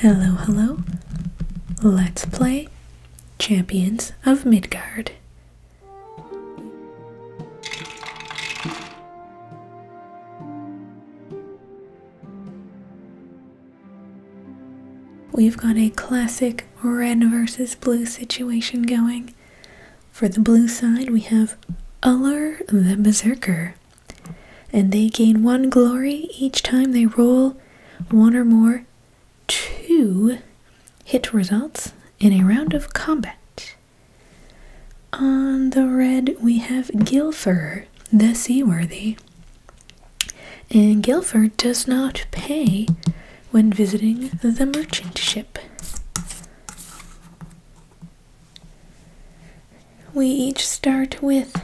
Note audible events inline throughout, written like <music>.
Hello, hello. Let's play Champions of Midgard. We've got a classic red versus blue situation going. For the blue side, we have Uller the Berserker and they gain one glory each time they roll one or more two hit results in a round of combat. On the red, we have Guilford, the Seaworthy. And Guilford does not pay when visiting the merchant ship we each start with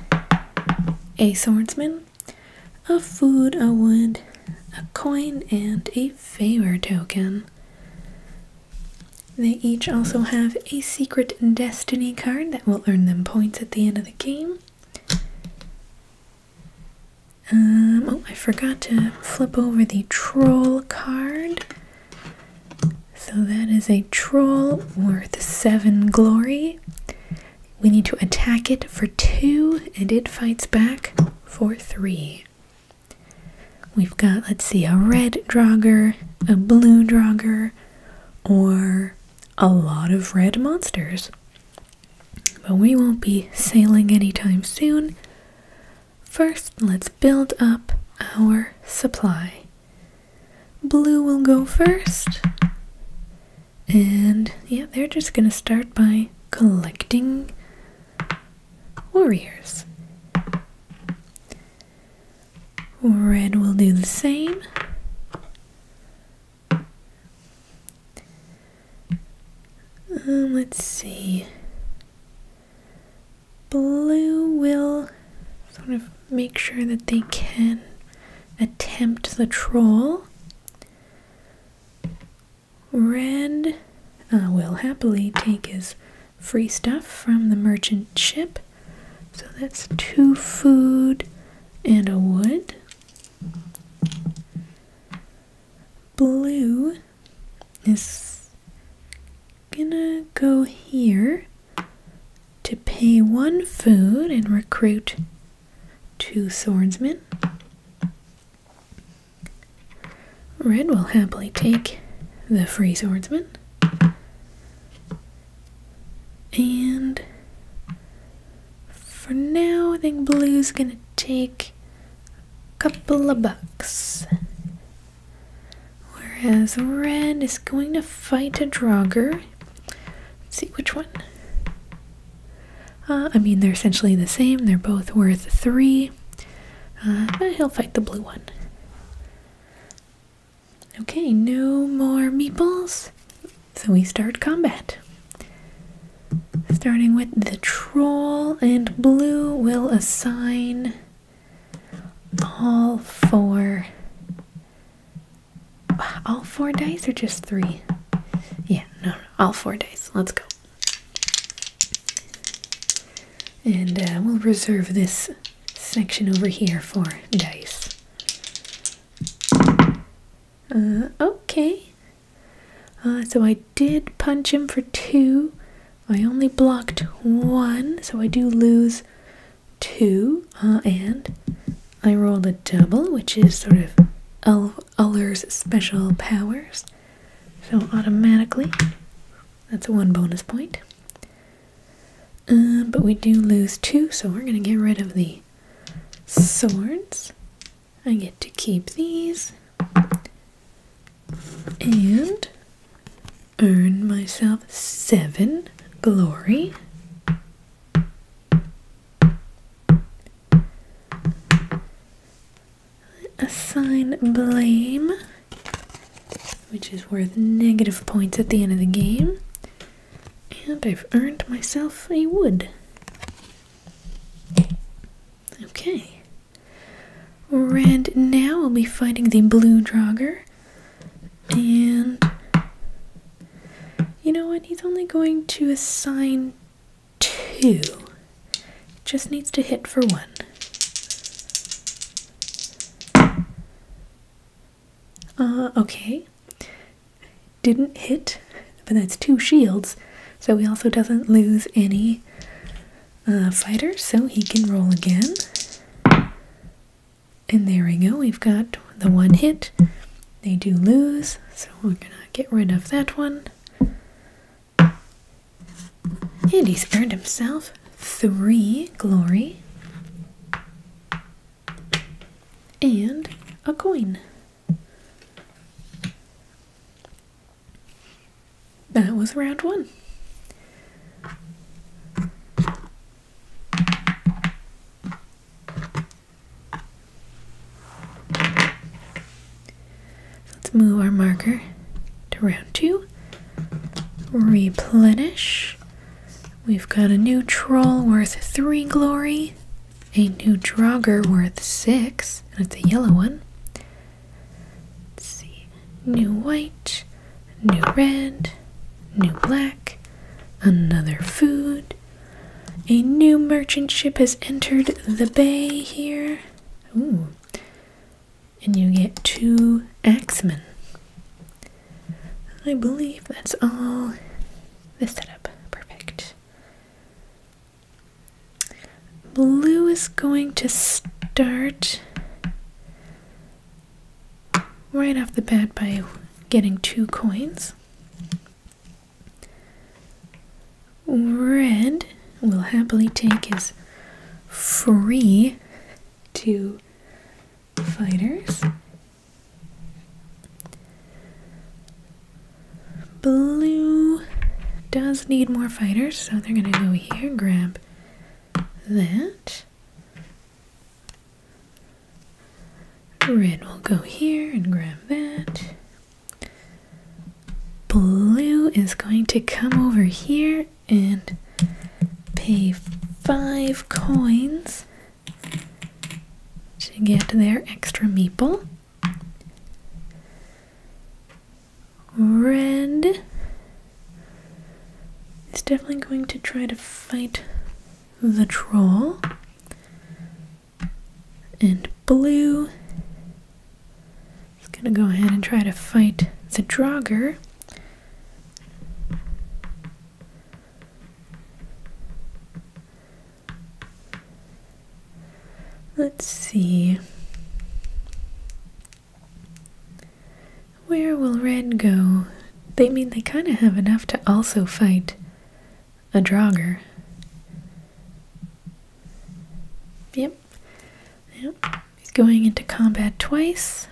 a swordsman, a food, a wood, a coin, and a favor token. They each also have a secret destiny card that will earn them points at the end of the game. Um, oh, I forgot to flip over the troll card. So that is a troll worth 7 glory. We need to attack it for 2, and it fights back for 3. We've got, let's see, a red drogger, a blue drogger, or a lot of red monsters. But we won't be sailing anytime soon. First, let's build up our supply. Blue will go first. And yeah, they're just gonna start by collecting warriors. Red will do the same. Um, let's see. Blue will sort of make sure that they can attempt the troll. Red uh, will happily take his free stuff from the merchant ship. So that's two food and a wood. Blue is gonna go here to pay one food and recruit two swordsmen. Red will happily take the free swordsmen. And for now, I think blue's gonna take a couple of bucks. Whereas red is going to fight a drogger. Let's see which one. Uh, I mean, they're essentially the same. They're both worth three. Uh, but he'll fight the blue one. Okay, no more meeples. So we start combat. Starting with the troll, and blue will assign all four all four dice or just three? Yeah, no, all four dice. Let's go. And uh, we'll reserve this section over here for dice. Uh, okay. Uh, so I did punch him for two. I only blocked one, so I do lose two, uh, and I rolled a double, which is sort of El Uller's special powers. So automatically, that's one bonus point. Um, but we do lose two, so we're going to get rid of the swords. I get to keep these. And earn myself seven glory. Assign blame, which is worth negative points at the end of the game. And I've earned myself a wood. Okay. and now will be fighting the blue Draugr. And you know what? He's only going to assign two. Just needs to hit for one. Uh, okay. Didn't hit, but that's two shields, so he also doesn't lose any uh, fighters, so he can roll again. And there we go. We've got the one hit. They do lose, so we're going to get rid of that one. And he's earned himself three glory and a coin. That was round one let's move our marker to round two. Replenish. We've got a new troll worth three glory, a new drogger worth six, and it's a yellow one. Let's see. New white, new red, new black, another food, a new merchant ship has entered the bay here. And you get two axemen. I believe that's all the setup. Perfect. Blue is going to start right off the bat by getting two coins. Red will happily take his free two fighters. Blue does need more fighters, so they're going to go here, grab that. Red will go here and grab that. Blue is going to come over here and pay five coins to get their extra meeple. Red is definitely going to try to fight the troll and blue. is gonna go ahead and try to fight the Draugr. Let's see. Where will red go? They mean they kind of have enough to also fight a jogger. Yep. Yep. He's going into combat twice.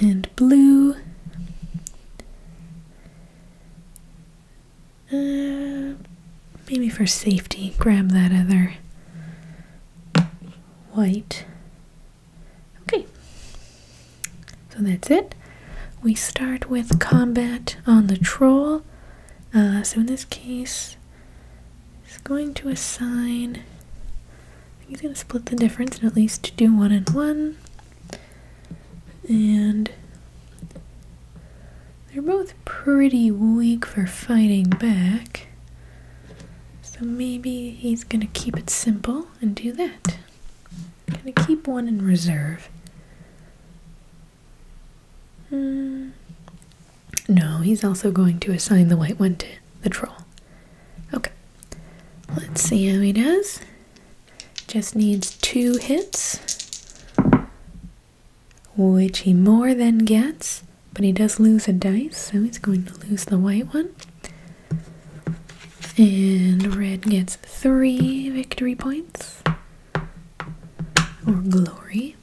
And blue. Uh, maybe for safety, grab that other white. Okay, so that's it. We start with combat on the troll. Uh, so in this case, he's going to assign. He's going to split the difference and at least do one and one. And they're both pretty weak for fighting back. So maybe he's going to keep it simple and do that. I'm going to keep one in reserve. Hmm. No, he's also going to assign the white one to the troll. Okay. Let's see how he does. Just needs two hits, which he more than gets, but he does lose a dice, so he's going to lose the white one. And red gets three victory points or glory.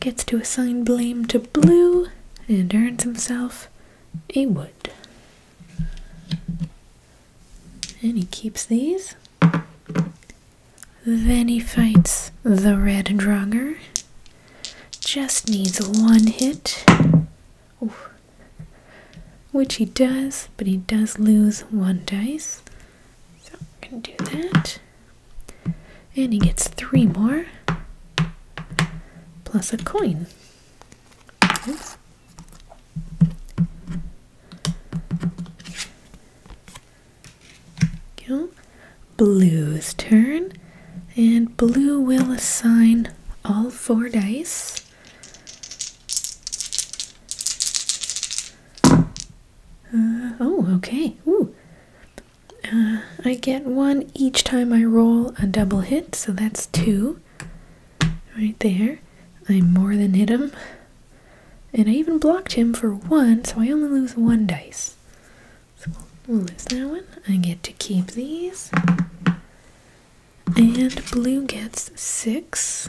Gets to assign blame to blue and earns himself a wood. And he keeps these. Then he fights the red Draugr. Just needs one hit. Which he does, but he does lose one dice. So I'm going to do that. And he gets three more. Plus a coin. Go. Blue's turn. And blue will assign all four dice uh, oh, okay. Uh, I get one each time I roll a double hit, so that's two right there. I more than hit him. And I even blocked him for one, so I only lose one dice. So we'll, we'll lose that one. I get to keep these. And blue gets 6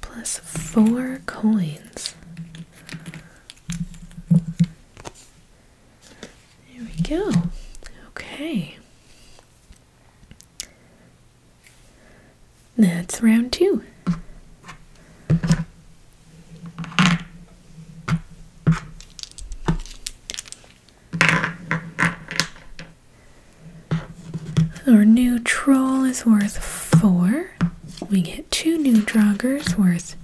plus 4 coins. There we go. Okay. That's round two. Our new troll is worth four. We get two new joggers worth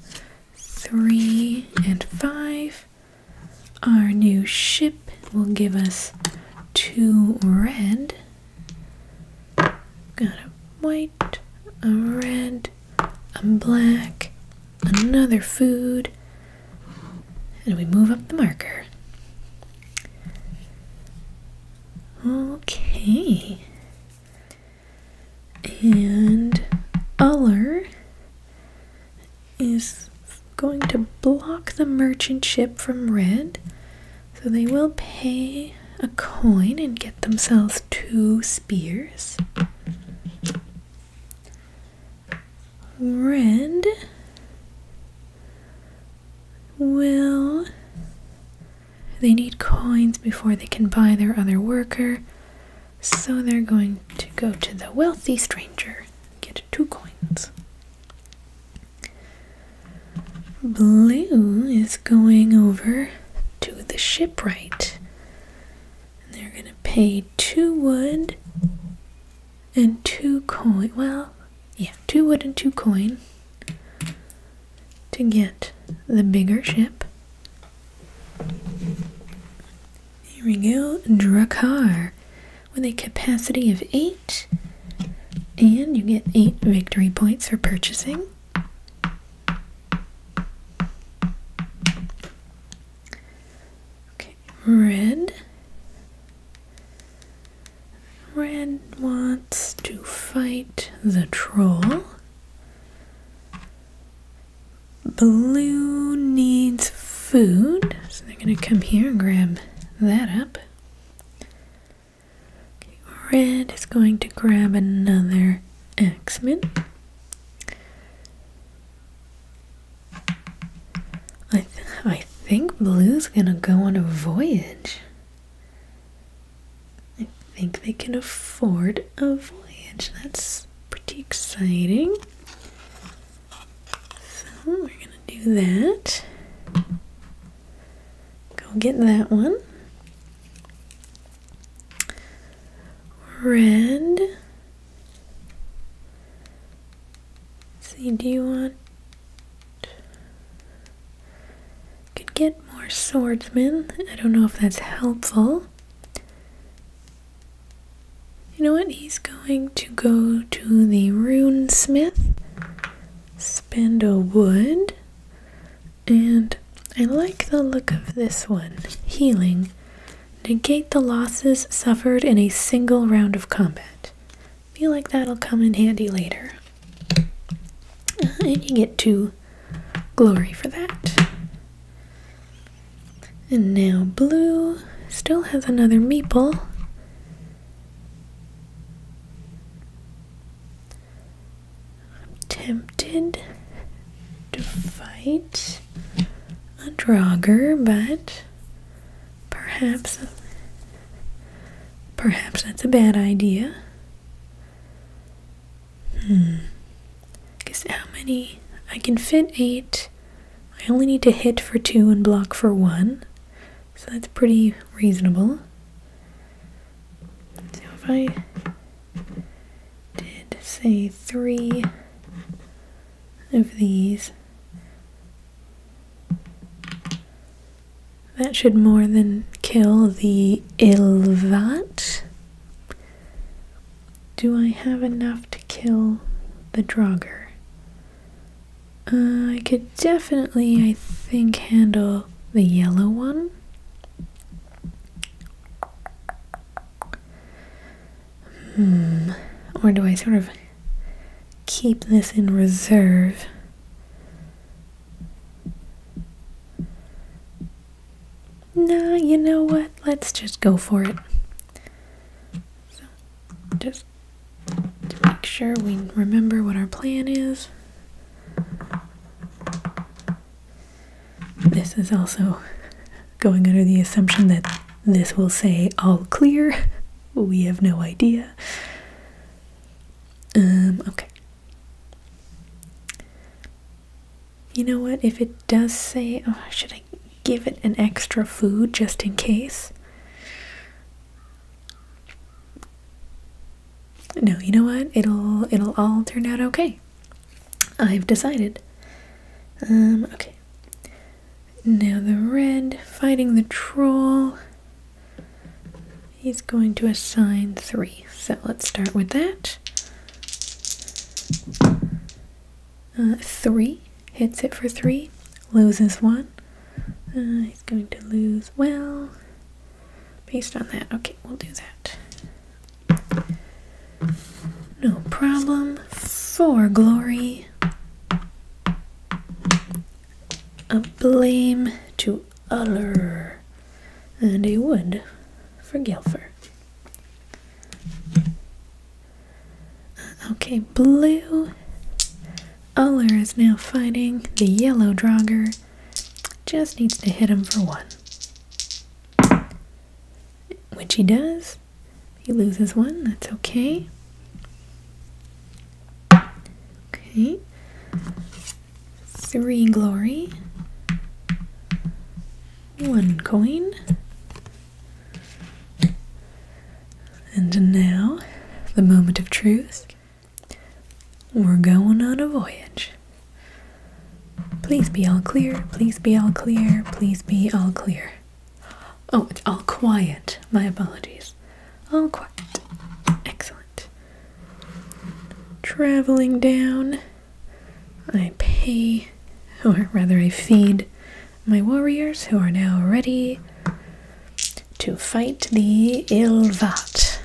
three and five. Our new ship will give us two red. Got a white, a red, a black, another food, and we move up the marker. Okay. And Uller is going to block the merchant ship from red. So they will pay a coin and get themselves two spears red will they need coins before they can buy their other worker so they're going to go to the wealthy stranger get two coins blue is going over to the shipwright they're going to pay two wood and two coin. Well, yeah, two wood and two coin to get the bigger ship. Here we go, Drakkar with a capacity of 8 and you get 8 victory points for purchasing. Okay, red. Red wants to fight the troll. Blue needs food, so they're going to come here and grab that up. Okay, red is going to grab another Axeman. I I think Blue's gonna go on a voyage. I think they can afford a voyage. That's pretty exciting. So we're gonna do that. Go get that one. Red see, do you want? Could get more swordsmen. I don't know if that's helpful. You know what? He's going to go to the rune smith, spend a wood, and I like the look of this one. Healing. Negate the losses suffered in a single round of combat. Feel like that'll come in handy later. and you get two glory for that. And now blue still has another meeple. I'm tempted to fight a Draugr, but perhaps perhaps that's a bad idea. Hmm. Guess how many I can fit eight. I only need to hit for two and block for one. So that's pretty reasonable. So if I did say three of these. That should more than kill the Ilvat. Do I have enough to kill the Draugr? Uh, I could definitely, I think, handle the yellow one. Hmm. Or do I sort of keep this in reserve? Nah, you know what? Let's just go for it. just to make sure we remember what our plan is. This is also going under the assumption that this will say all clear. <laughs> We have no idea. Um, okay. You know what? If it does say, oh, should I give it an extra food just in case? No, you know what? It'll it'll all turn out okay. I've decided. Um, okay. Now the red fighting the troll. He's going to assign three. So let's start with that. Uh, three hits it for three, loses one. Uh, he's going to lose, well, based on that. Okay, we'll do that. No problem. for glory a blame to Uller, and a wood for Guilfer. Okay, blue. Uller is now fighting the yellow drogger. Just needs to hit him for one. Which he does. He loses one, that's okay. Okay. Three glory. One coin. And now, the moment of truth. We're going on a voyage. Please be all clear, please be all clear, please be all clear. Oh, it's all quiet. My apologies. All quiet. Excellent. Traveling down, I pay, or rather, I feed my warriors who are now ready to fight the Ilvat.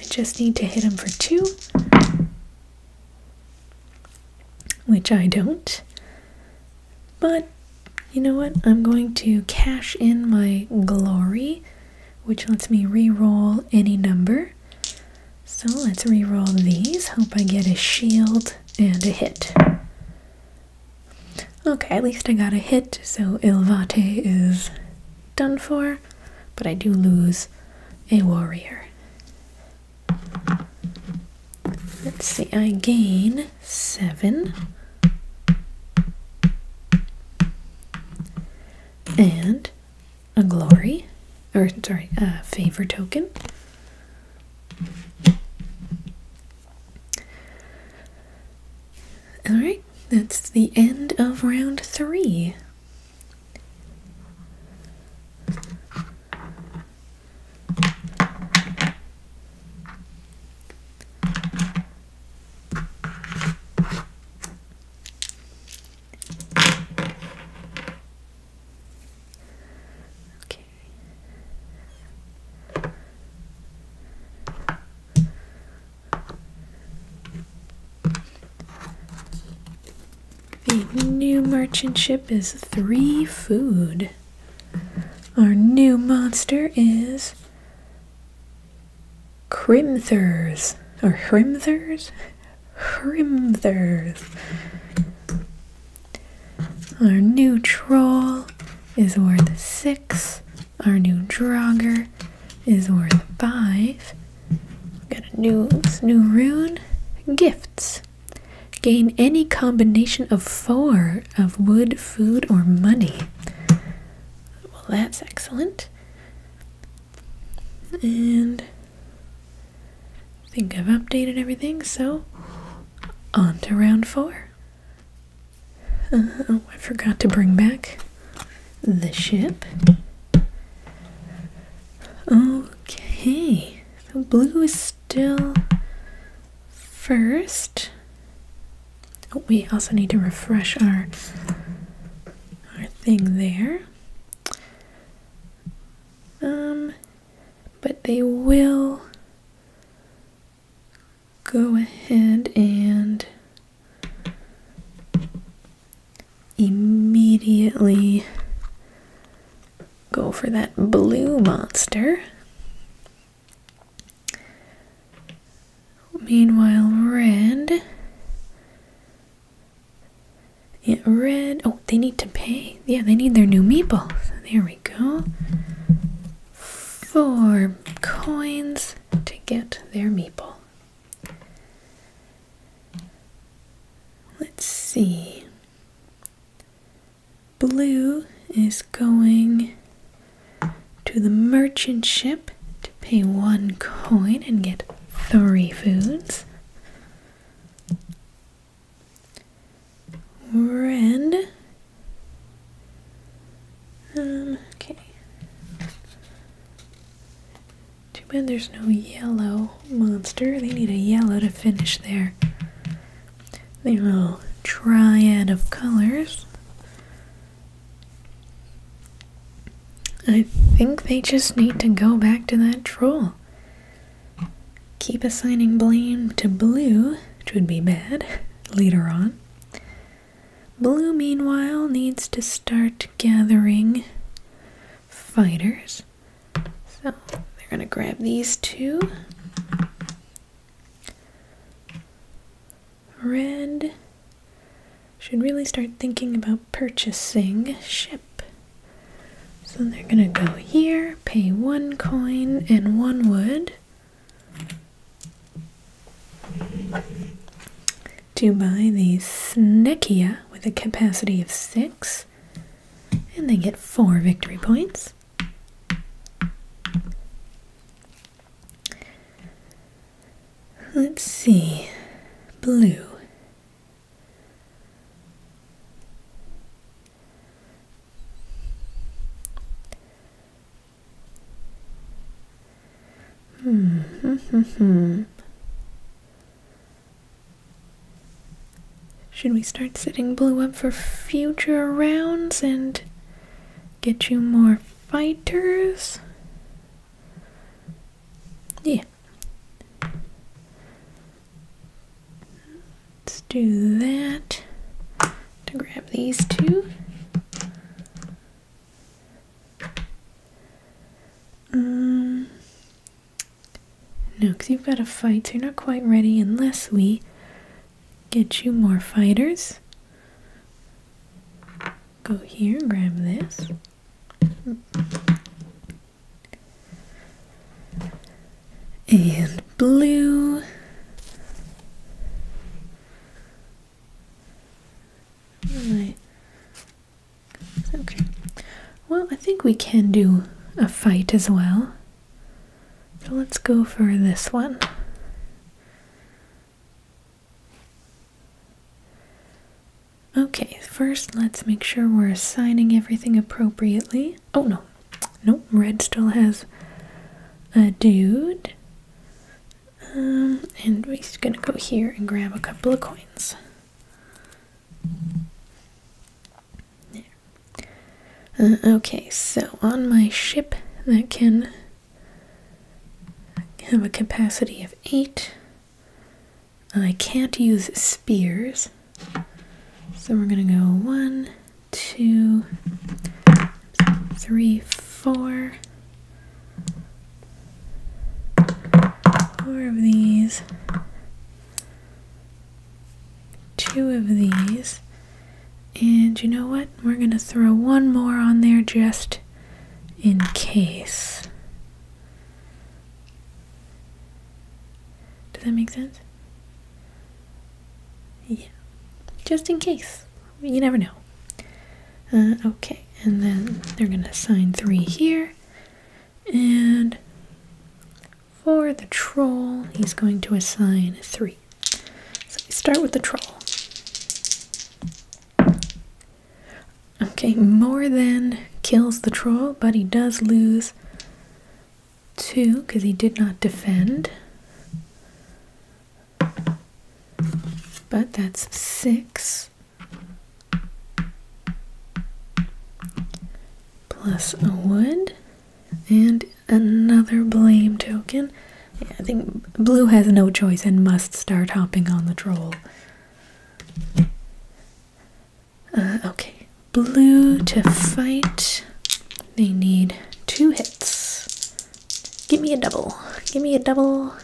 I just need to hit him for two, which I don't. But you know what? I'm going to cash in my glory, which lets me re-roll any number. So let's re-roll these. Hope I get a shield and a hit. Okay, at least I got a hit, so Ilvate is done for, but I do lose a warrior. Let's see, I gain 7 and a glory, or sorry, a favor token. Alright, that's the end of round 3. Okay. The new merchant ship is three food. Our new monster is Crimthers. Or Hrimthers? Hrimthers. Our new troll is worth six. Our new Draugr is worth five. Got a new, new rune. Gifts. Gain any combination of four of wood, food, or money. Well, that's excellent. And I think I've updated everything, so on to round four. Uh-huh, oh, I forgot to bring back the ship. Okay, the blue is still first. Oh, we also need to refresh our our thing there. Um, but they will go ahead and immediately go for that blue monster. Meanwhile, red. Yeah, red. Oh, they need to pay. Yeah, they need their new meeples. There we go. Four coins to get their meeple. Let's see. Blue is going to the merchant ship to pay one coin and get three foods. Red. Um, okay. Too bad there's no yellow monster. They need a yellow to finish there the little triad of colors. I think they just need to go back to that troll. Keep assigning blame to blue, which would be bad <laughs> later on. Blue, meanwhile, needs to start gathering fighters. So they're gonna grab these two Red should really start thinking about purchasing ship. So they're gonna go here, pay one coin and one wood to buy the Snekia with a capacity of six, and they get four victory points. Let's see. Blue. Hmm. <laughs> Should we start setting blue up for future rounds and get you more fighters? Yeah. Let's do that to grab these two. Um, no, because you've got a fight, so you're not quite ready unless we Get you more fighters. Go here, grab this. And blue. Okay. Well, I think we can do a fight as well. So let's go for this one. Okay, first let's make sure we're assigning everything appropriately. Oh no, nope, red still has a dude. Um, and we're just gonna go here and grab a couple of coins. Uh, okay, so on my ship that can have a capacity of eight, I can't use spears. So we're going to go one, two, three, four. Four of these two of these. And you know what? We're going to throw one more on there just in case. Does that make sense? Yeah. Just in case. You never know. Uh, okay. And then they're going to sign three here. And for the troll, he's going to assign three. So we start with the troll. Okay, more than kills the troll, but he does lose two because he did not defend. But that's six. Plus a wood. And another blame token. I think blue has no choice and must start hopping on the troll. Uh, okay, blue to fight. They need two hits. Give me a double. Give me a double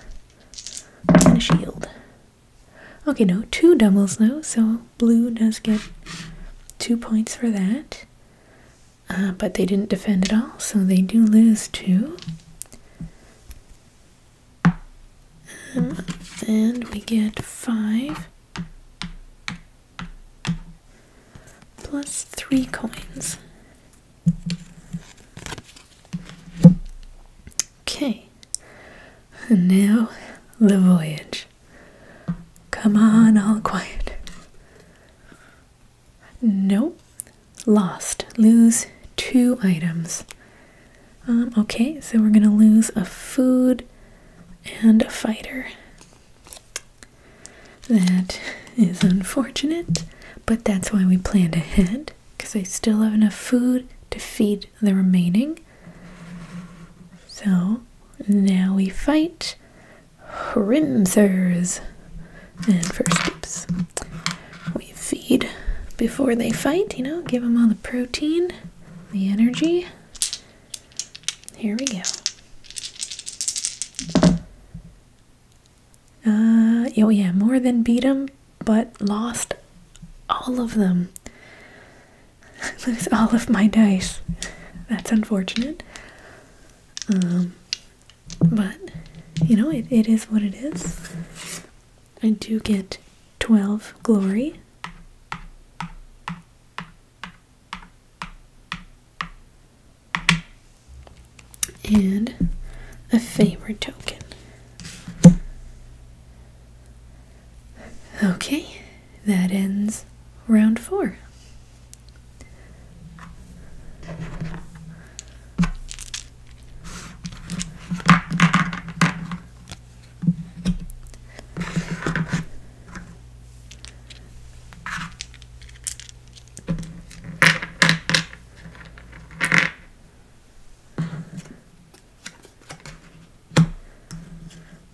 and a shield. Okay, no, two doubles though, so blue does get two points for that. Uh, but they didn't defend at all, so they do lose two. Um, and we get five plus three coins. Okay, and now the voyage. Come on, all quiet. Nope, Lost. Lose two items. Um, okay, so we're gonna lose a food and a fighter. That is unfortunate, but that's why we planned ahead, because I still have enough food to feed the remaining. So now we fight Hrimthers. And first, scoops, we feed before they fight, you know, give them all the protein, the energy. Here we go. Uh, oh yeah, more than beat them, but lost all of them. <laughs> Lost all of my dice. That's unfortunate. Um, but you know, it, it is what it is. I do get 12 glory. And a favor token. Okay, that ends round four.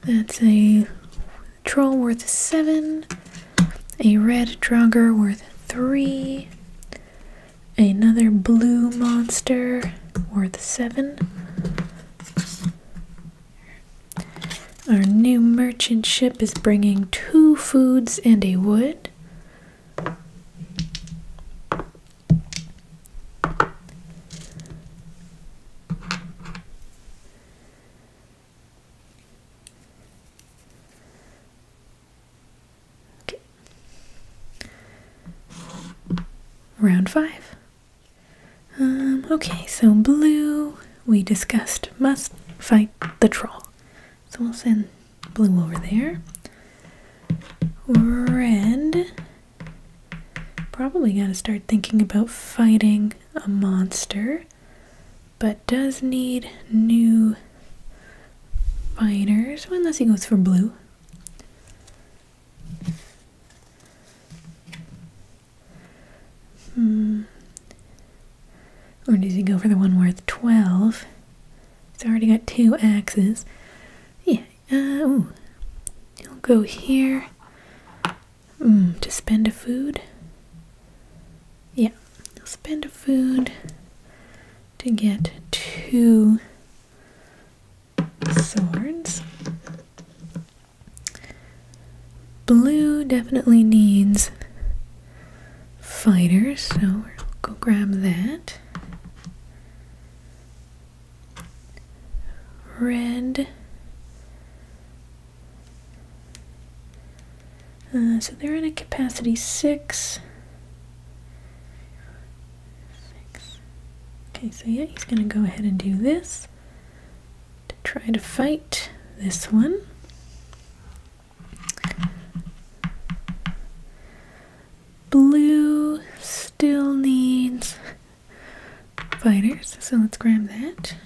That's a troll worth 7, a red Draugr worth 3, another blue monster worth 7. Our new merchant ship is bringing two foods and a wood. Okay. Round five. Um, okay, so blue, we discussed, must fight the troll. So we'll send blue over there. Red, probably got to start thinking about fighting a monster but does need new fighters, unless he goes for blue. Hmm. Or does he go for the one worth 12? It's already got two axes. Yeah, uh, ooh. He'll go here. Mm, to spend a food? Yeah, spend a food to get two swords. Blue definitely needs fighters, so we'll go grab that. Red uh, so they're in a capacity 6. Okay, so yeah, he's going to go ahead and do this to try to fight this one. Blue still needs fighters, so let's grab that.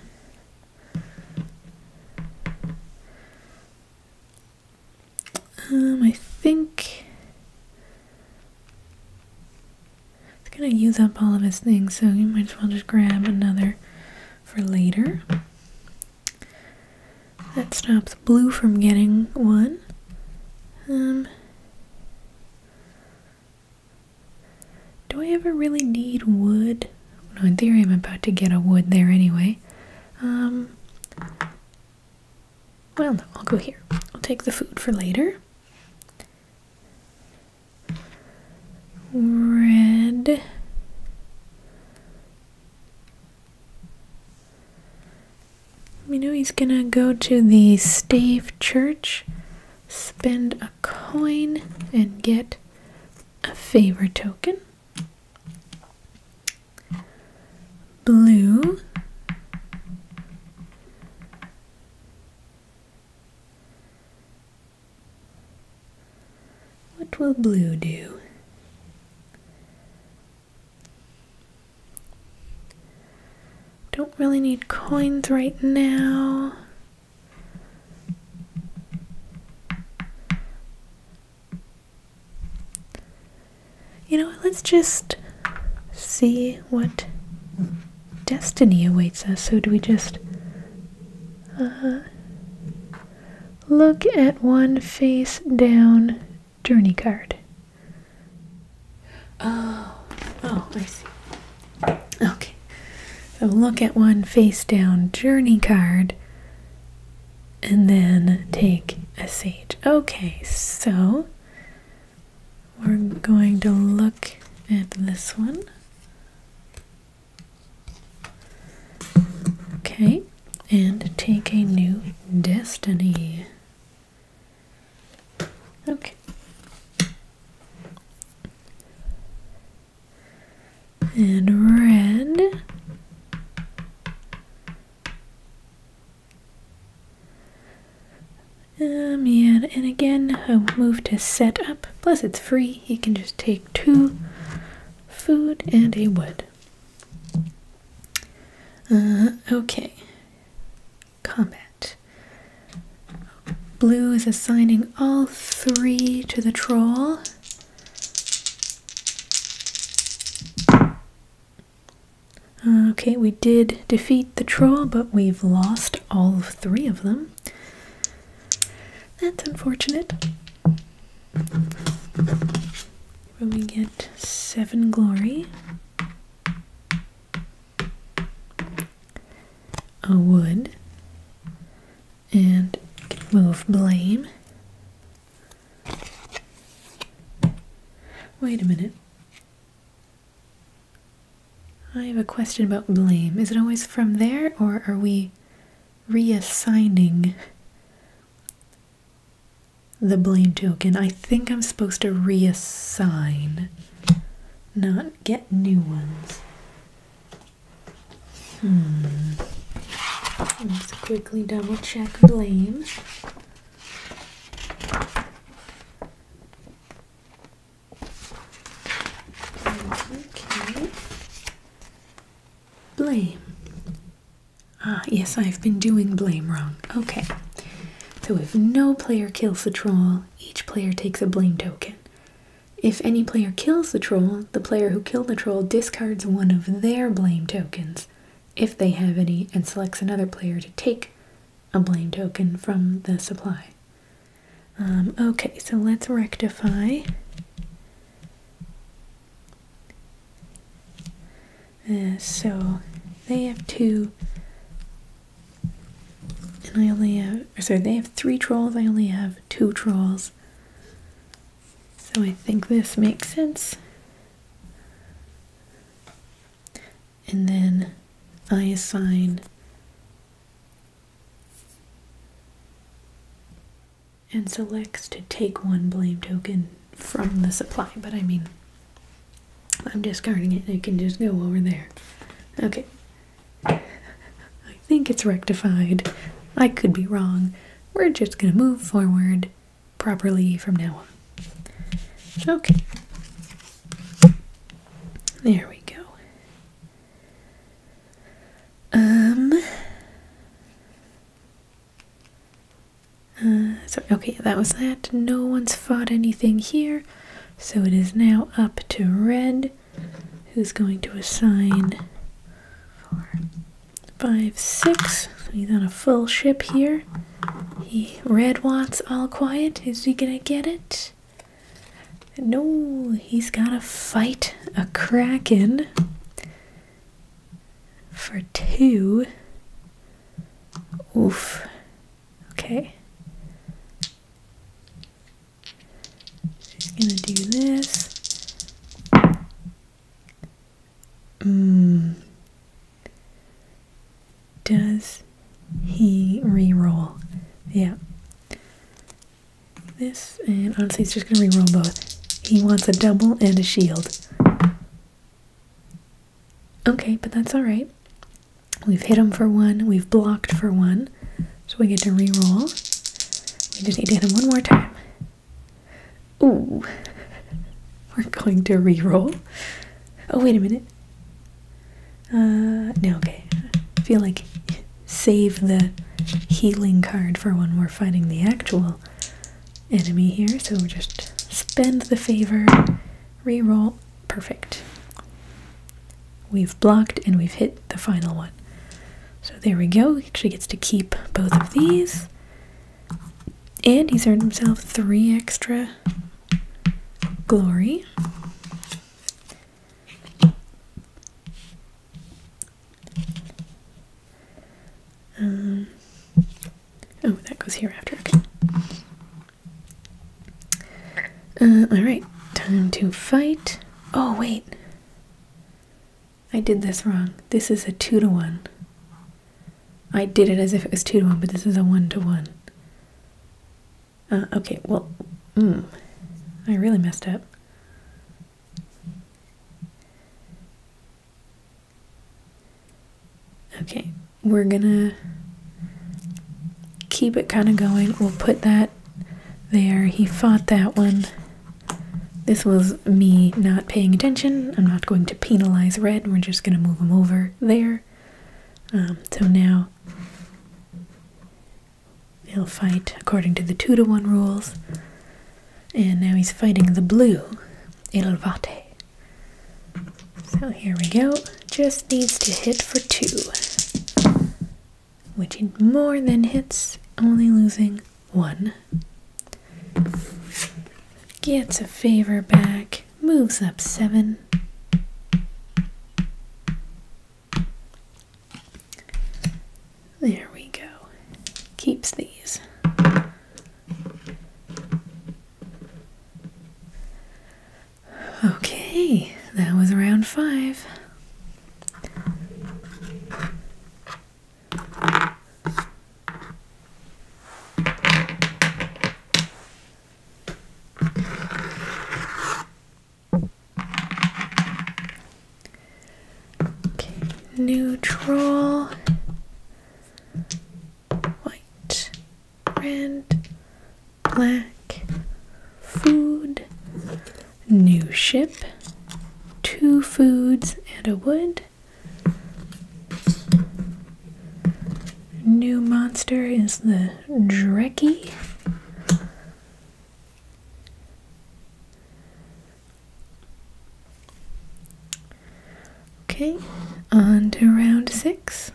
Um, I think it's gonna use up all of his things, so we might as well just grab another for later. That stops blue from getting one. Um, do I ever really need wood? No, in theory I'm about to get a wood there anyway. Um, well, no, I'll go here. I'll take the food for later. Red. You know he's gonna go to the stave church, spend a coin, and get a favor token blue what will blue do? Don't really need coins right now. You know, let's just see what destiny awaits us. So, do we just uh, look at one face down journey card? Oh, oh, I see. Okay. So, look at one face down journey card and then take a sage. Okay, so we're going to look at this one. Okay, and take a new destiny. Okay and red. Um, yeah, and again, i move to set up. Plus, it's free. You can just take two food and a wood. Uh, okay. Combat. Blue is assigning all three to the troll. Okay, we did defeat the troll, but we've lost all three of them. That's unfortunate. But we get seven glory. A wood and move blame. Wait a minute. I have a question about blame. Is it always from there, or are we reassigning the blame token? I think I'm supposed to reassign, not get new ones. Hmm. Let's quickly double check blame. Okay. Blame. Ah, yes, I've been doing blame wrong. Okay. So if no player kills a troll, each player takes a blame token. If any player kills the troll, the player who killed the troll discards one of their blame tokens, if they have any, and selects another player to take a blame token from the supply. Um, okay, so let's rectify. Uh, so they have two, and I only have, sorry, they have three trolls, I only have two trolls. So I think this makes sense. And then I assign and selects to take one blame token from the supply, but I mean, I'm discarding it. It can just go over there. Okay. I think it's rectified. I could be wrong. We're just going to move forward properly from now on. Okay. There we go. Um. Uh, okay, that was that. No one's fought anything here. So it is now up to red, who's going to assign five, six. So he's on a full ship here. He red wants all quiet. Is he gonna get it? No, he's gotta fight a kraken for two. Oof. Okay. He's gonna do this. Mm. Does he re-roll? Yeah. This, and honestly, he's just going to re-roll both. He wants a double and a shield. Okay, but that's alright. We've hit him for one, we've blocked for one, so we get to re-roll. We just need to hit him one more time. Ooh. We're going to re-roll. Oh, wait a minute. Uh, no, okay. I feel like save the healing card for when we're fighting the actual enemy here. So we just spend the favor, re-roll. Perfect. We've blocked and we've hit the final one. So there we go. He actually gets to keep both of these. And he's earned himself three extra glory. Um, oh, that goes here after. Uh, Alright, time to fight. Oh, wait. I did this wrong. This is a 2 to 1. I did it as if it was 2 to 1, but this is a 1 to 1. Uh, okay, well, mm, I really messed up. Okay, we're gonna keep it kind of going. We'll put that there. He fought that one. This was me not paying attention. I'm not going to penalize red. We're just going to move him over there. Um, so now he'll fight according to the 2 to 1 rules. And now he's fighting the blue, Il So here we go. Just needs to hit for 2. Which he more than hits, only losing one. Gets a favor back, moves up seven. There we go. Keeps these. Okay, that was round five neutral, white, red, black, food, new ship, two foods and a wood. New monster is the Dreki. Okay, on to round six.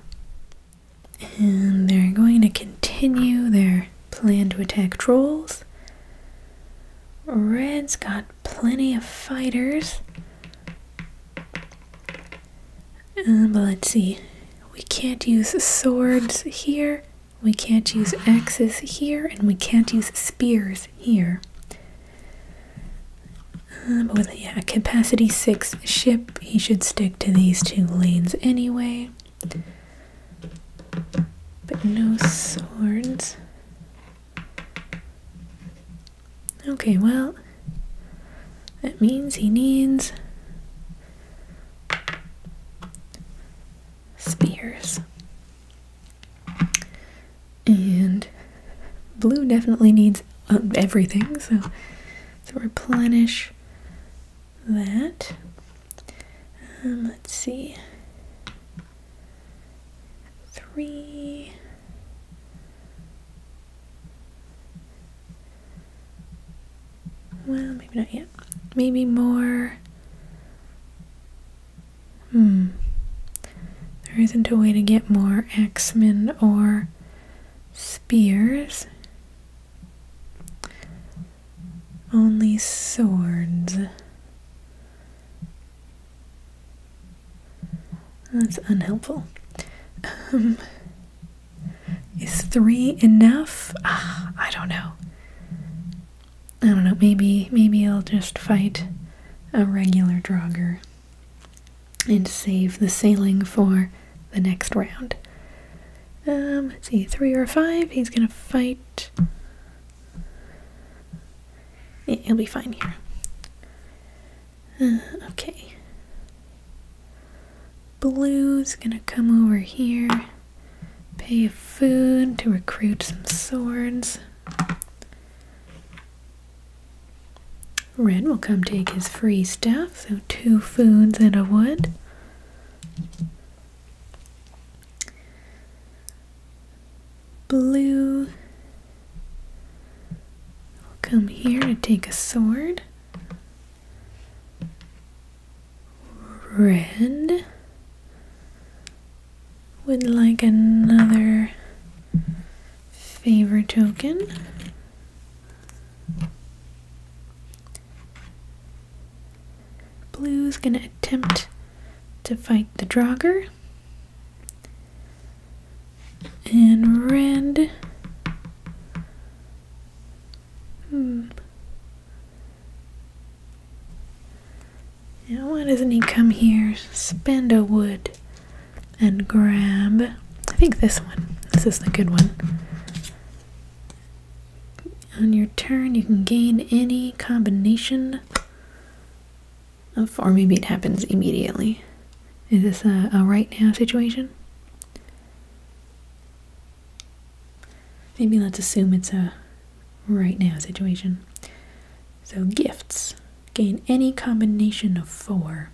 And they're going to continue their plan to attack trolls. Red's got plenty of fighters. Um, but let's see. We can't use swords here. We can't use axes here. And we can't use spears here. Um, but with a capacity 6 ship, he should stick to these two lanes anyway. But no swords. Okay, well, that means he needs spears. And blue definitely needs um, everything, so to replenish that. Um, let's see three, well, maybe not yet. Maybe more. Hmm. There isn't a way to get more axemen or spears. Only swords. That's unhelpful. Um, is three enough? Ah, I don't know. I don't know. Maybe maybe I'll just fight a regular drogger and save the sailing for the next round. Um, let's see, three or five. He's gonna fight. It'll be fine here. Uh, okay. Blue's gonna come over here, pay a food to recruit some swords. Red will come take his free stuff, so two foods and a wood. Blue will come here to take a sword. Red would like another favor token. Blue's gonna attempt to fight the Draugr and red. Hmm. Now, why doesn't he come here, spend a wood, and grab? I think this one. This is the good one. On your turn, you can gain any combination or maybe it happens immediately. Is this a, right now situation? Maybe let's assume it's a right now situation. So gifts. Gain any combination of four.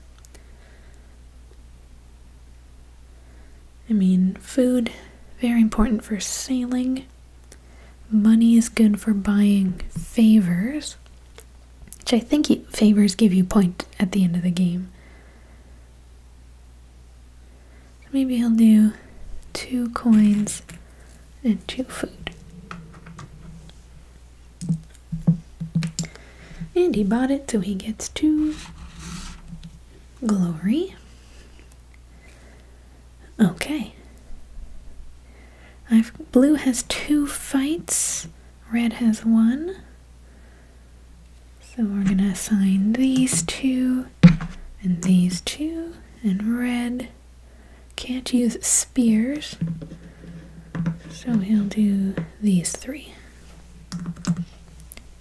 I mean, food, very important for sailing. Money is good for buying favors, which I think favors give you point at the end of the game. maybe he'll do two coins and two food. And he bought it, so he gets two glory. Okay. blue has two fights, red has one. So we're gonna assign these two and these two and red can't use spears. So he'll do these three.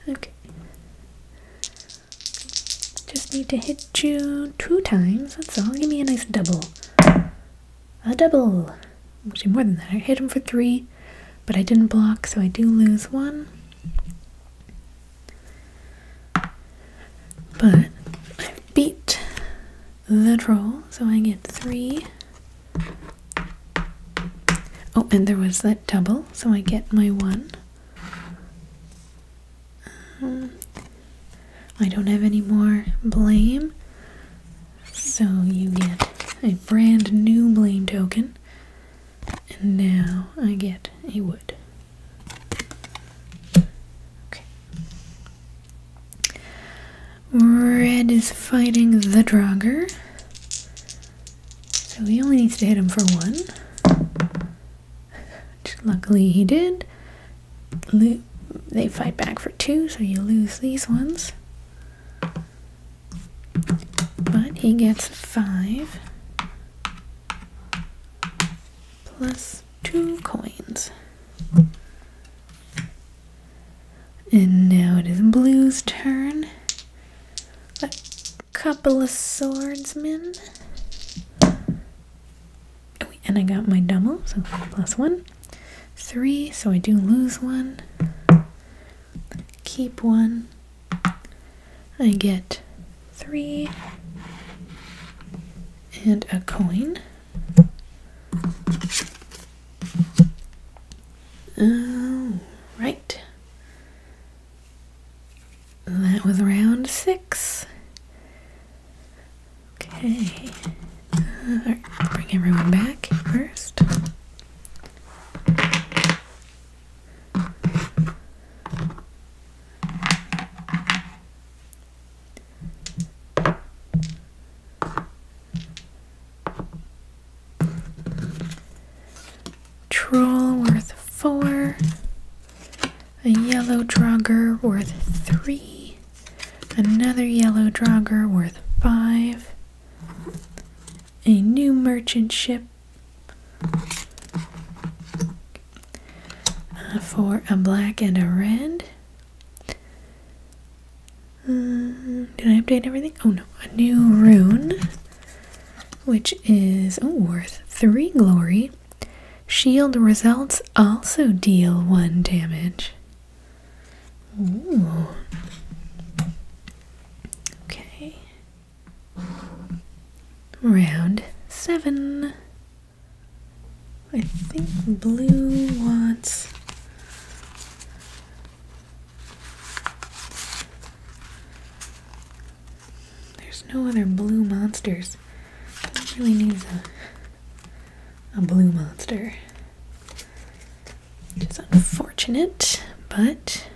Okay. Just need to hit hit two times. That's all. Give me a nice double. A double. Actually, more than that. I hit him for three, but I didn't block, so I do lose one. But I beat the troll, so I get three. Oh, and there was that double, so I get my one. Um, I don't have any more blame, so you get a brand new blame token, and now I get a wood. Okay. Red is fighting the Draugr, so he only needs to hit him for one. Which luckily he did, they fight back for two, so you lose these ones. But he gets five plus two coins. And now it is Blue's turn. A couple of swordsmen and I got my double, so plus one. Three, so I do lose one. Keep one. I get three and a coin. Oh, right. That was round six. Okay. bring everyone back first. Troll worth four, a yellow drogger worth three, Another yellow drogger worth five. A new merchant ship uh, for a black and a red. Mm, did I update everything? Oh no, a new rune, which is oh, worth three glory. Shield results also deal 1 damage. Ooh. Okay. Round 7. I think blue wants. There's no other blue monsters. Blue needs a a blue monster. Which is unfortunate, but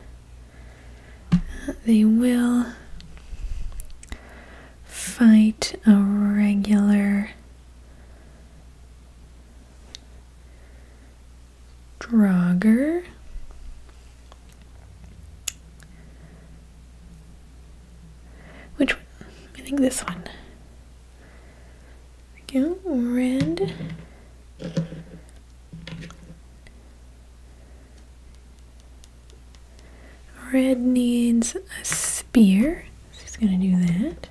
uh, they will fight a regular Draugr. Which I think this one we go, red. Red needs a spear. She's going to do that.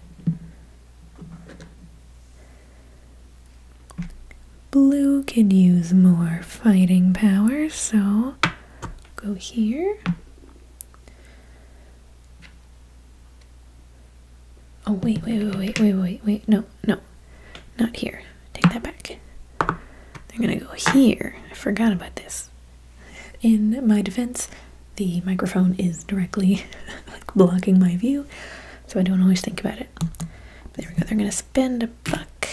Blue could use more fighting power, so go here. Oh, wait, wait, wait, wait, wait, wait, wait. No, no. Not here. Take that back. They're going to go here. I forgot about this. In my defense, the microphone is directly <laughs> blocking my view, so I don't always think about it. There we go. They're going to spend a buck,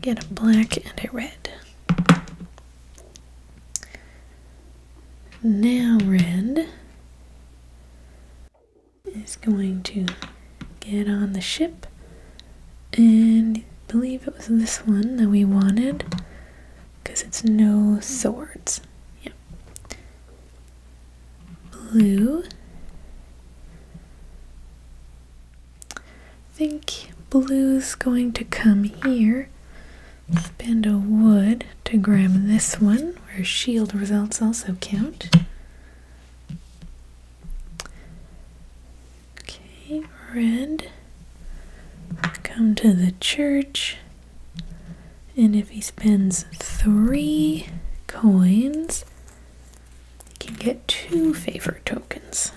get a black and a red. Now, Red is going to get on the ship, and believe it was this one that we wanted because it's no swords. Yep. Blue. think blue's going to come here spend a wood to grab this one, where shield results also count. Okay, red. Come to the church. And if he spends three coins, he can get two favor tokens.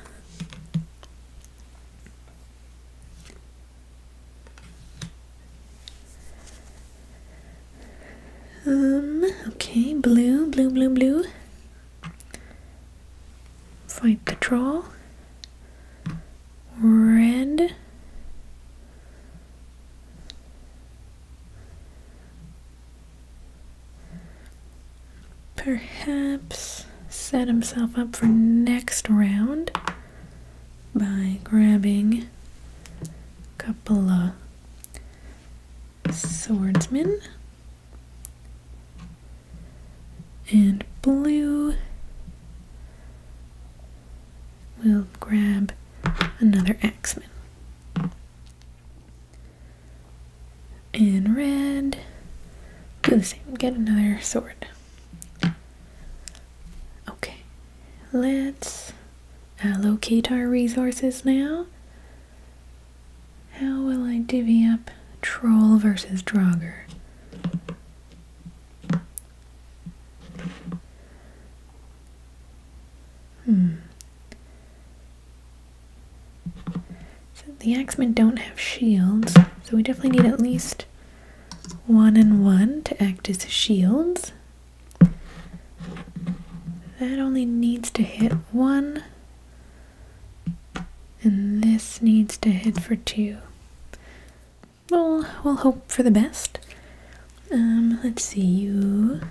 Um, okay, blue, blue, blue, blue. Flight control. Red. Perhaps set himself up for next round by grabbing a couple of swordsmen and blue will grab another axman, and red do the same get another sword Okay, let's allocate our resources now. How will I divvy up Troll versus Draugr? Hmm. the Axemen don't have shields, so we definitely need at least one and one to act as shields. That only needs to hit one, and this needs to hit for two. Well, we'll hope for the best. Um, let's see, you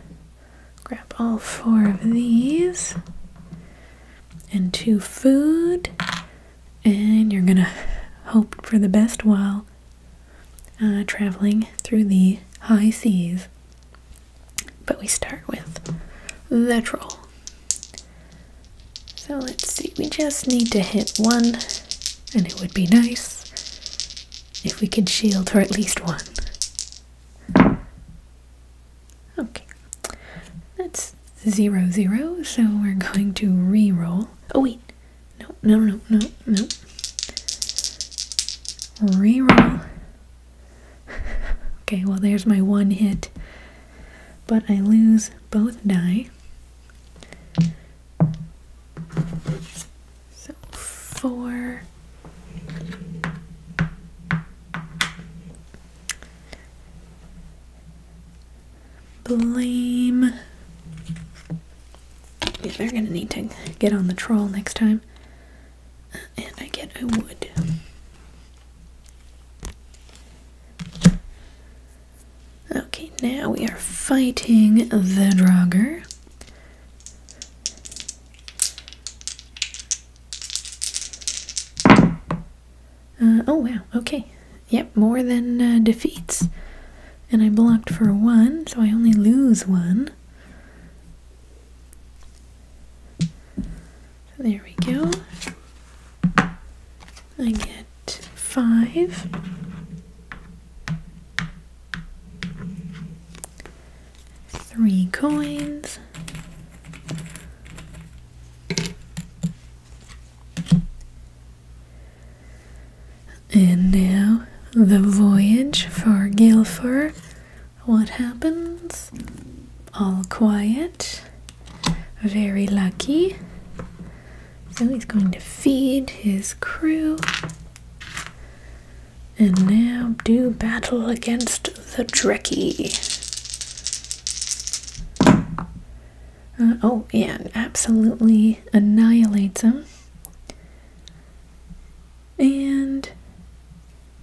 grab all four of these and two food and you're gonna hope for the best while uh, traveling through the high seas. But we start with the troll. So let's see, we just need to hit one, and it would be nice if we could shield for at least one. Okay, that's zero zero, so we're going to re-roll. Oh wait, no, no, no, no, no. Re-roll. <laughs> okay, well there's my one hit, but I lose both die. So four. Blame. they're gonna need to get on the troll next time. and I get I would. Okay, now we are fighting the Draugr. Uh, oh wow, okay. Yep, more than uh, defeats. And I blocked for one, so I only lose one. there we go. I get five. Three coins. And now the voyage for Guilford. What happens? All quiet. Very lucky. So he's going to feed his crew. And now do battle against the Drekkie. Uh, oh, yeah, absolutely annihilates him. And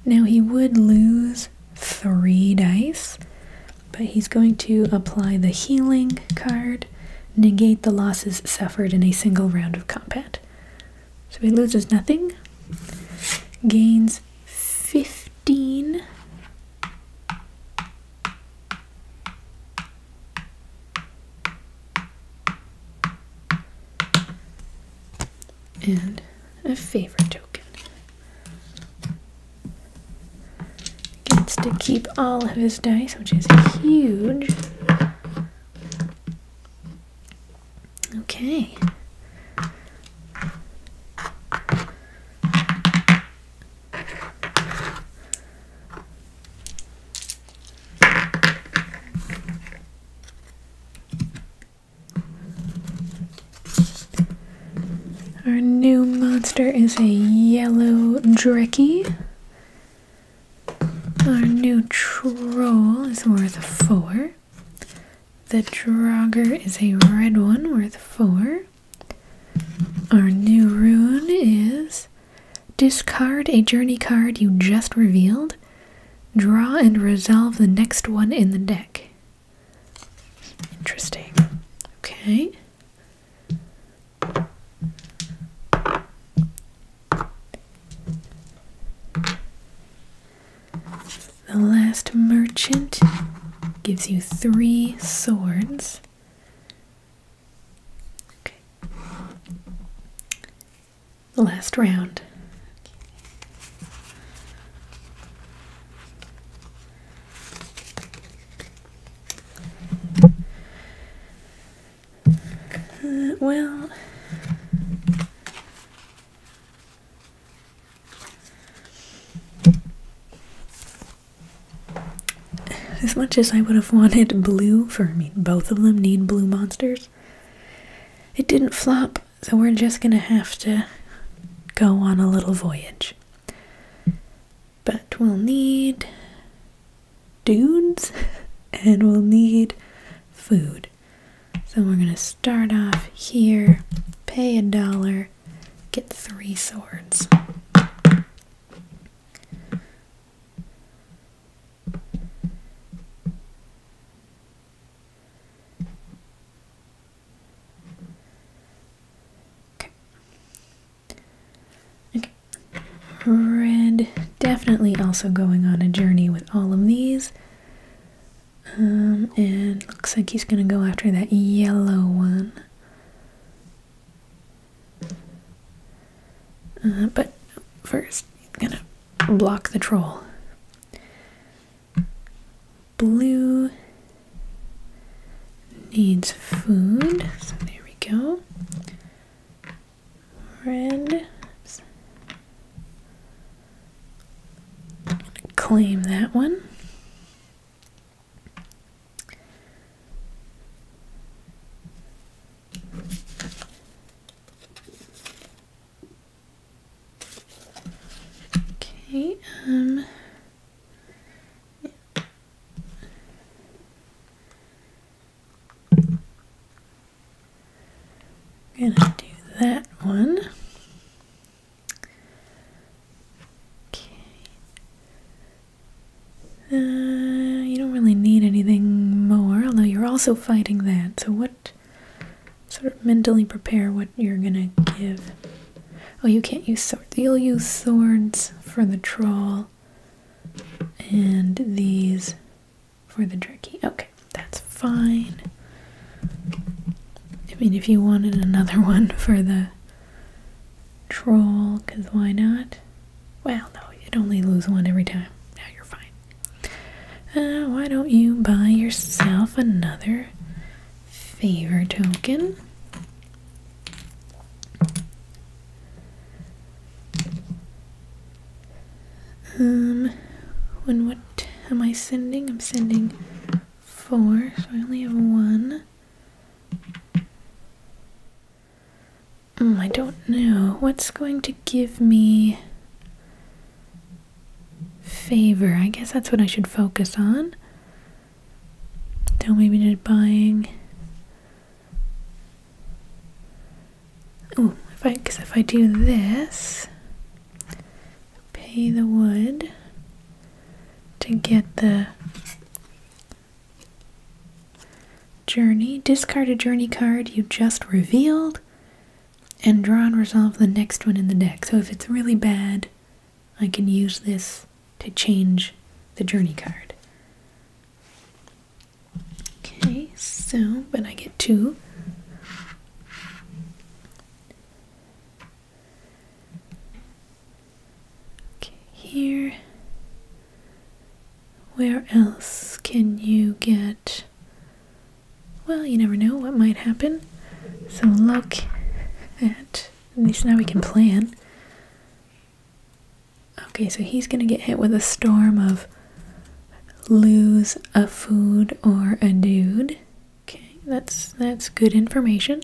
now he would lose three dice, but he's going to apply the healing card, negate the losses suffered in a single round of combat. So he loses nothing, gains 15 and a favorite token. Gets to keep all of his dice, which is huge. Okay. Our new monster is a yellow Drecky. Our new troll is worth 4. The Draugr is a red one worth 4. Our new rune is discard a journey card you just revealed, draw and resolve the next one in the deck. Interesting. Okay. The last merchant gives you three swords. The last round. Uh, well, as much as I would have wanted blue for, me, both of them need blue monsters. It didn't flop, so we're just gonna have to go on a little voyage. But we'll need dudes <laughs> and we'll need food. So we're gonna start off here, pay a dollar, get three swords. Okay. Red definitely also going on a journey with all of these. Um, and looks like he's gonna go after that yellow one. Uh, but first, I'm gonna block the troll. Blue needs food, so there we go. Red. Claim that one. Okay, um, I'm gonna do that one. Okay. Uh, you don't really need anything more, although you're also fighting that. So, what sort of mentally prepare what you're gonna give? Oh, you can't use swords. You'll use swords for the troll and these for the jerky. Okay, that's fine. I mean, if you wanted another <laughs> one for the troll, because why not? Well, no, you'd only lose one every time. Now you're fine. Uh, why don't you buy yourself another favor token? Um, when what am I sending? I'm sending four, so I only have one. Mm, I don't know. What's going to give me favor? I guess that's what I should focus on. Don't maybe just buying. Oh, because if I do this, pay the wood to get the Journey. Discard a journey card you just revealed and draw and resolve the next one in the deck. So if it's really bad, I can use this to change the journey card. Okay, so, when I get two. Okay, here. Where else can you get. Well, you never know what might happen. So look at. At least now we can plan. Okay, so he's gonna get hit with a storm of lose a food or a dude. Okay, that's that's good information.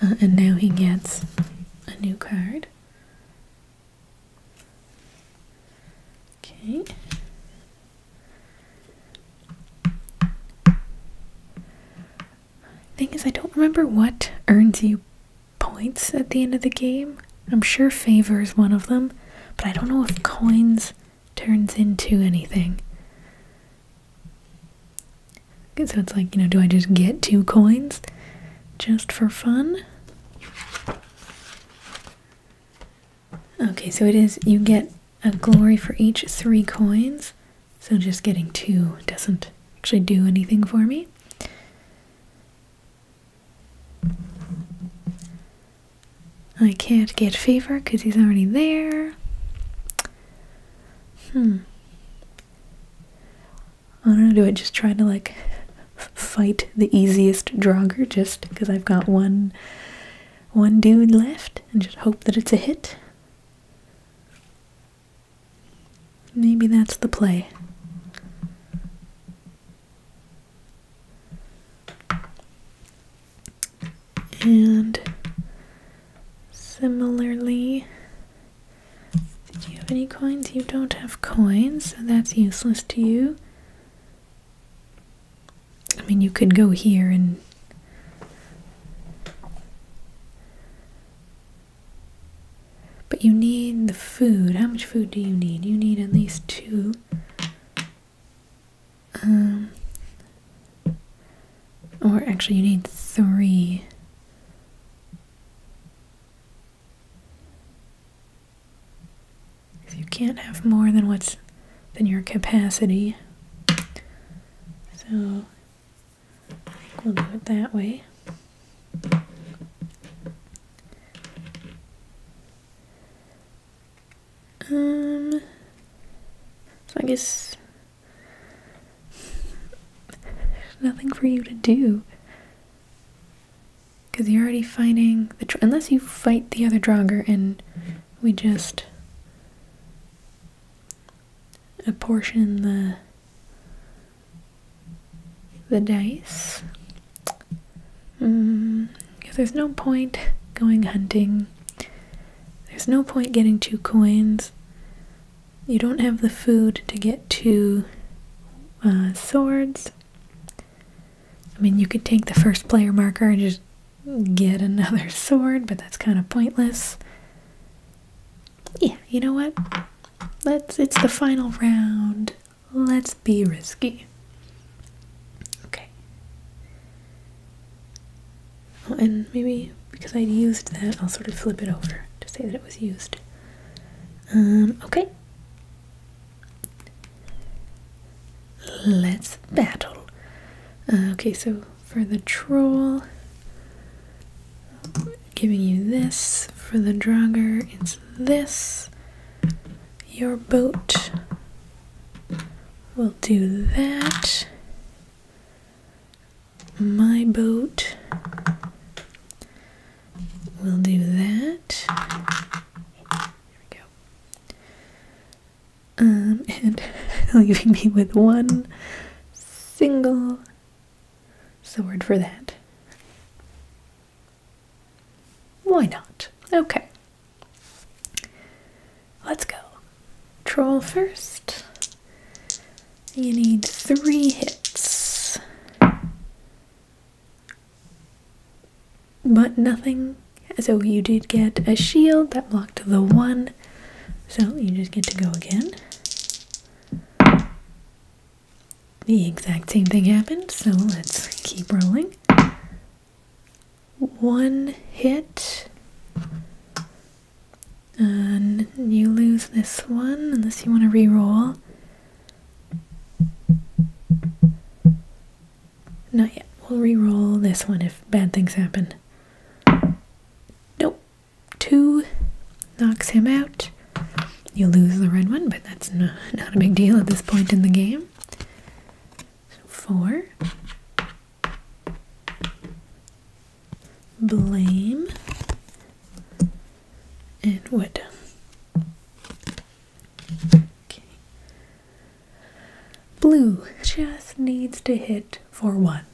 Uh, and now he gets a new card. Okay. Thing is, I don't remember what earns you points at the end of the game. I'm sure favors one of them, but I don't know if coins turns into anything. So it's like, you know, do I just get two coins just for fun? Okay, so it is, you get a glory for each three coins. So just getting two doesn't actually do anything for me. I can't get favor because he's already there. Hmm. I don't know, do I just try to like fight the easiest drogger just because I've got one one dude left and just hope that it's a hit? Maybe that's the play. And similarly, do you have any coins? You don't have coins, so that's useless to you. I mean, you could go here and. But you need the food. How much food do you need? You need at least two. Um, or actually, you need three. So you can't have more than what's than your capacity. So we'll do it that way. Um, so I guess nothing for you to do. Because you're already fighting the unless you fight the other Draugr and we just apportion the the dice. Mm, because there's no point going hunting. There's no point getting two coins you don't have the food to get two uh, swords. I mean, you could take the first player marker and just get another <laughs> sword, but that's kind of pointless. Yeah, you know what? Let's it's the final round. Let's be risky. Okay. Oh, and maybe because i used that, I'll sort of flip it over to say that it was used. Um, okay. Let's battle. Uh, okay, so for the troll, giving you this. For the drogger, it's this. Your boat will do that. My boat We'll do that. There we go. Um, <laughs> and <laughs> leaving me with one single sword for that. Why not? Okay. Let's go. Troll first. You need three hits. But nothing. So you did get a shield that blocked the one. So you just get to go again. The exact same thing happened, so let's keep rolling. One hit. And you lose this one unless you want to re-roll. Not yet. We'll re-roll this one if bad things happen. Nope. Two knocks him out. You lose the red one, but that's not, a big deal at this point in the game. four. Blame and what? Blue just needs to hit for one.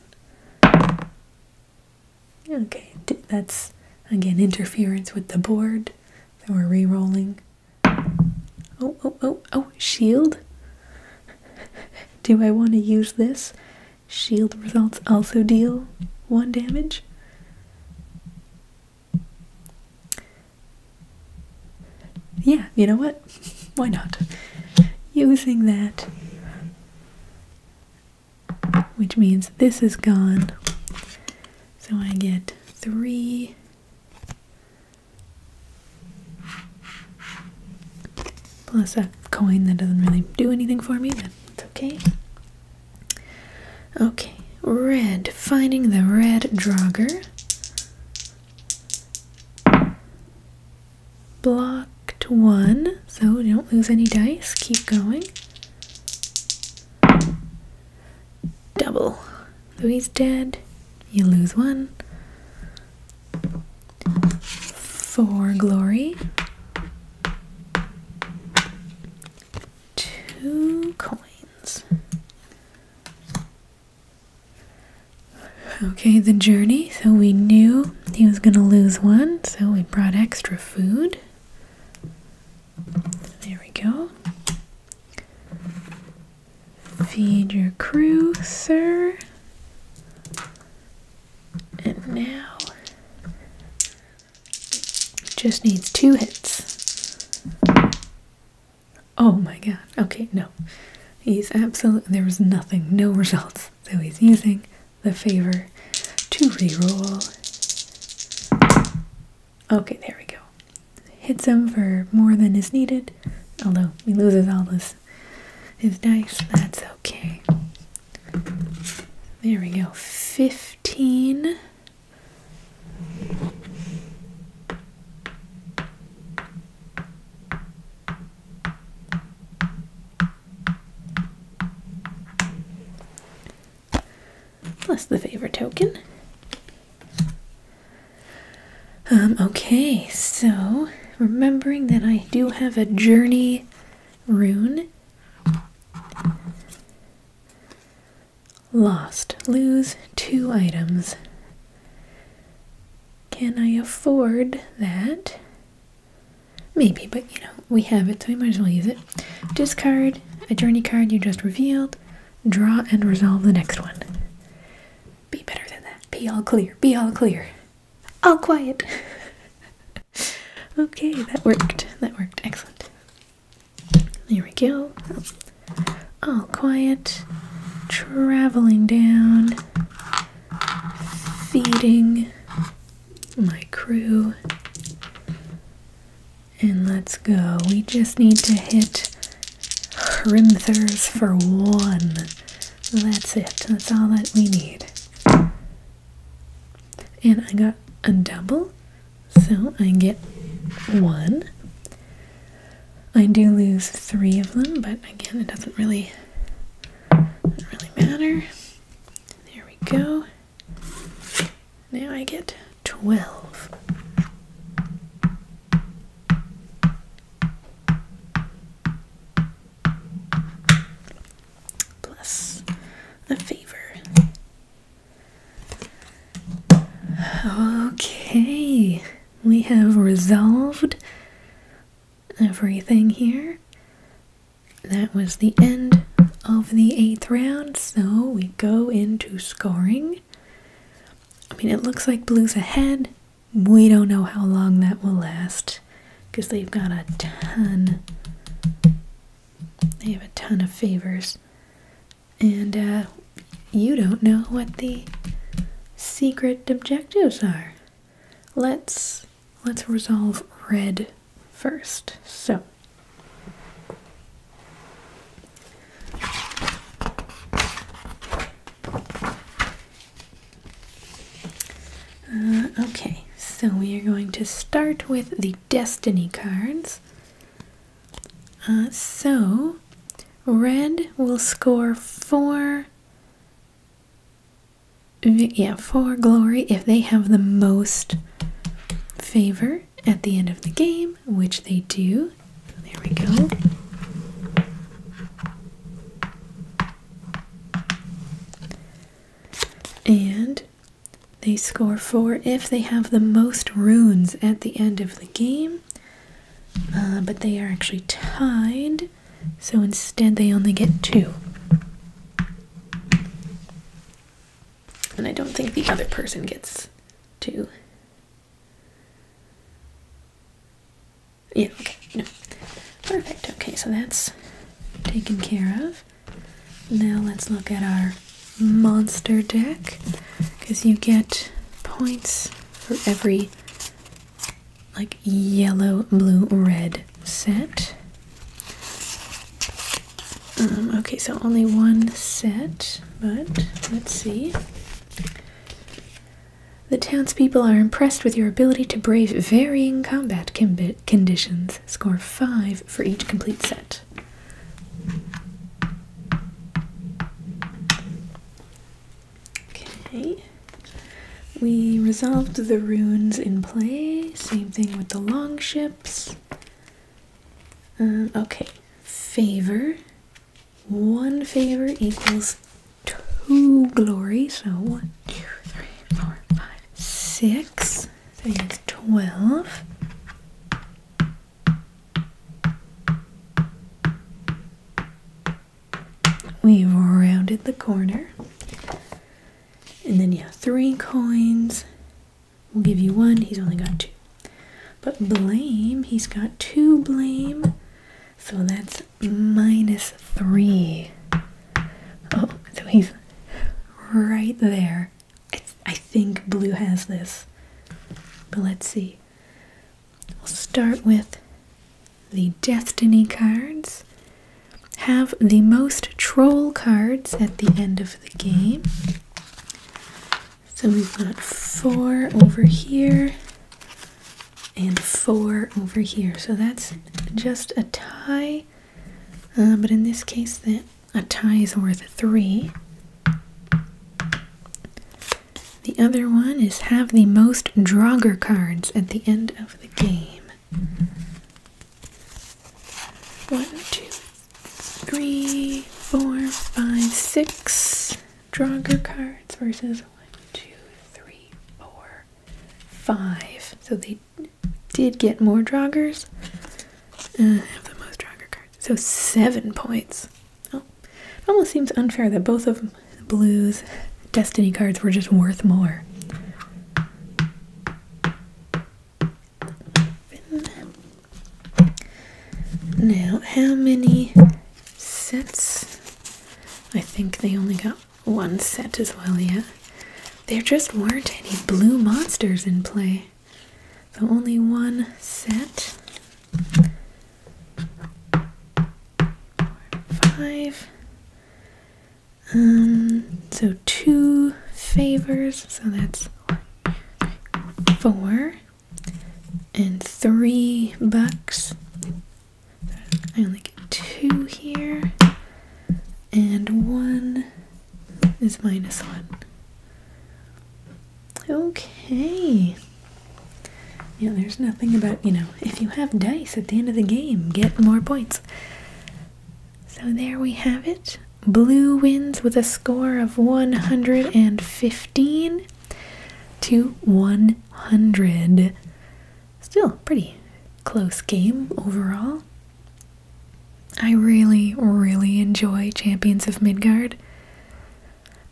Okay, that's again interference with the board. So we're re rolling. Oh, oh, oh, oh, shield. <laughs> Do I want to use this? Shield results also deal one damage. Yeah, you know what? <laughs> Why not? Using that, which means this is gone. So I get three. Plus a coin that doesn't really do anything for me, but it's okay. Okay, red. Finding the red drogger. Blocked one, so don't lose any dice. Keep going. Double. So he's dead. You lose one. Four glory two coins. Okay, the journey. So we knew he was going to lose one, so we brought extra food. There we go. Feed your crew, sir. And now just needs two hits. Oh my god. Okay, no. He's absolutely. There was nothing, no results. So he's using the favor to reroll. Okay, there we go. Hits him for more than is needed, although he loses all his, his dice. That's okay. There we go. 50 plus the favor token. Um, okay, so remembering that I do have a journey rune. Lost. Lose two items. Can I afford that? Maybe, but you know, we have it, so we might as well use it. Discard a journey card you just revealed. Draw and resolve the next one. Be better than that. Be all clear. Be all clear. All quiet. <laughs> okay, that worked. That worked. Excellent. There we go. All quiet. Traveling down. Feeding my crew. And let's go. We just need to hit Hrimthers for one. That's it. That's all that we need. And I got a double so I get one. I do lose three of them, but again, it doesn't really, really matter. There we go. Now I get 12. Plus a favor. Okay, we have resolved everything here. That was the end of the eighth round, so we go into scoring. I mean, it looks like Blue's ahead. We don't know how long that will last because they've got a ton. They have a ton of favors and uh, you don't know what the secret objectives are. Let's let's resolve red first. So uh, okay, so we are going to start with the destiny cards. Uh, so, red will score four. Yeah, four glory if they have the most favor at the end of the game, which they do. There we go. And they score 4 if they have the most runes at the end of the game, uh, but they are actually tied, so instead they only get 2. And I don't think the other person gets 2. Yeah, okay, no. Perfect, okay, so that's taken care of. Now let's look at our monster deck because you get points for every like yellow, blue, red set. Um, okay, so only one set, but let's see. The townspeople are impressed with your ability to brave varying combat conditions. Score 5 for each complete set. Okay. We resolved the runes in play. Same thing with the long ships. Um, okay. Favor. One favor equals two glory. So one, two, three, four, five, six. That is twelve. We've rounded the corner. And then, yeah, three coins. We'll give you one. He's only got two. But blame, he's got two blame. So that's minus three. Oh, so he's right there I think blue has this, but let's see. We'll start with the Destiny cards. Have the most troll cards at the end of the game. So we've got four over here and four over here. So that's just a tie. Uh, but in this case, that a tie is worth three. The other one is have the most Draugr cards at the end of the game. One, two, three, four, five, six Draugr cards versus one, two, three, four, five. So they did get more Draugrs. Uh, have the most Draugr cards. So seven points. Oh, it almost seems unfair that both of Blue's Destiny cards were just worth more. Now, how many sets? I think they only got one set as well, yeah. There just weren't any blue monsters in play so only one set. five. Um, so two favors, so that's four and three bucks. I only get two here, and one is minus one. Okay. Yeah, there's nothing about, you know, if you have dice at the end of the game, get more points. So there we have it. Blue wins with a score of 115 to 100. Still pretty close game overall. I really, really enjoy Champions of Midgard.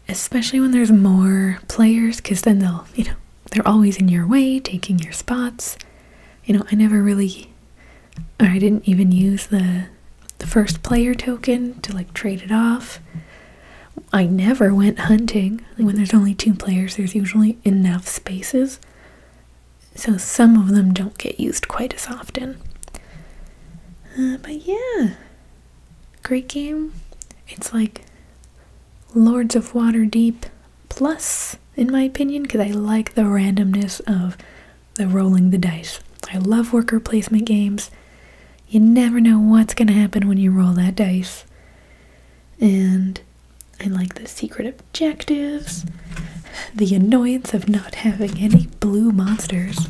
Especially when there's more players, because then they'll, you know, they're always in your way, taking your spots. You know, I never really, or I didn't even use the, the first player token to like trade it off. I never went hunting. When there's only two players, there's usually enough spaces. So some of them don't get used quite as often. Uh, but yeah, great game. It's like Lords of Waterdeep plus, in my opinion, because I like the randomness of the rolling the dice. I love worker placement games. You never know what's going to happen when you roll that dice. And I like the secret objectives, the annoyance of not having any blue monsters.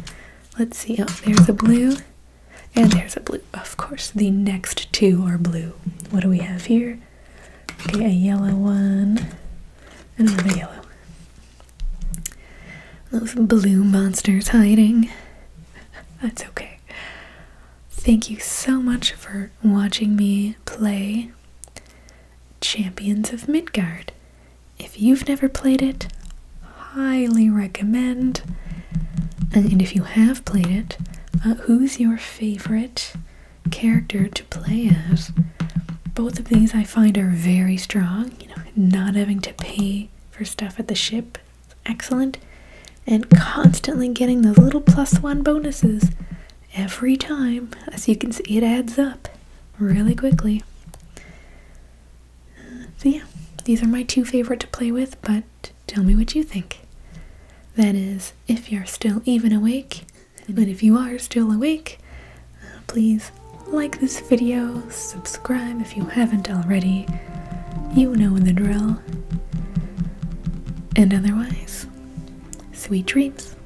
Let's see. Oh, there's a blue. And there's a blue. Of course, the next two are blue. What do we have here? Okay, a yellow one. And another yellow. Those blue monsters hiding. <laughs> That's okay. Thank you so much for watching me play Champions of Midgard. If you've never played it, highly recommend. And if you have played it, uh, who's your favorite character to play as? Both of these I find are very strong. You know, not having to pay for stuff at the ship, excellent. And constantly getting those little plus one bonuses every time. As you can see, it adds up really quickly. So, yeah, these are my two favorite to play with, but tell me what you think. That is, if you're still even awake, but if you are still awake, uh, please like this video, subscribe if you haven't already. You know the drill. And otherwise, sweet dreams.